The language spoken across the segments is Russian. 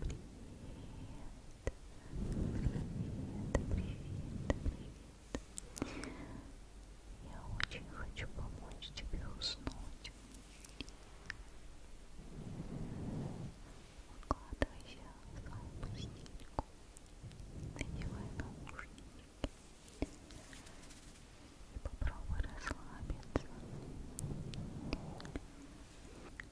привет, привет. Я очень хочу помочь тебе уснуть. Укладывайся в свою постельку, надевай наушники и попробуй расслабиться.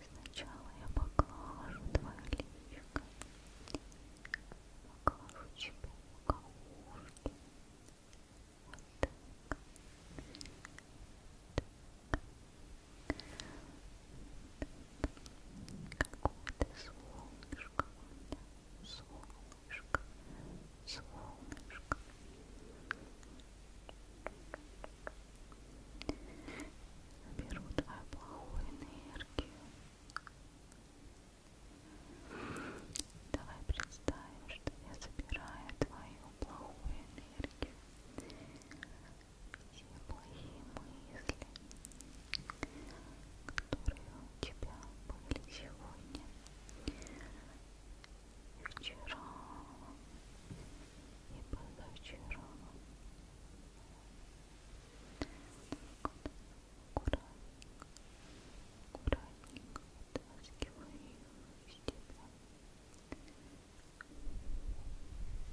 Сначала я поглажу твое личико, поглажу тебе ушки, вот так, так, какое ты солнышко у меня, солнышко, солнышко, солнышко. Беру твою плохую энергию. Давай представим, что я собираю твою плохую энергию. Все плохие мысли, которые у тебя были сегодня вчера и позавчера. Так вот, аккуратненько, аккуратненько вытаскиваю из тебя. Аккуратненько,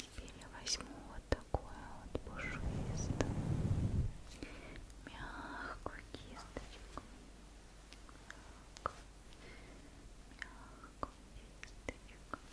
Теперь я возьму вот такую вот пушистую, мягкую кисточку. Мягкую, мягкую кисточку.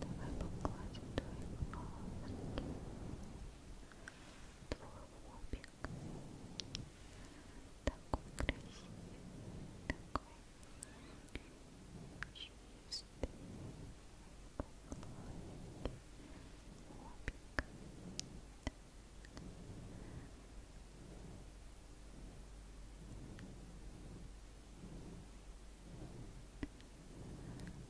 Давай погладим твои глазки, твой лобик, такой красивый, такой чистый, гладкий лобик. Так.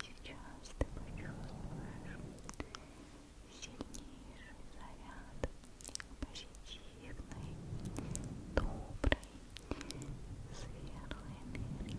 Сейчас ты почувствуешь сильнейший заряд позитивной, доброй, светлой энергии.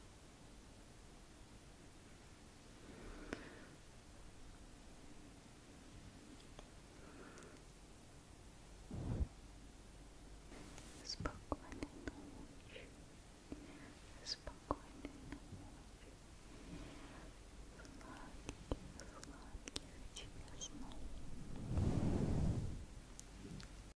Спокойной ночи. Спокойной ночи. Сладких, сладких тебе снов.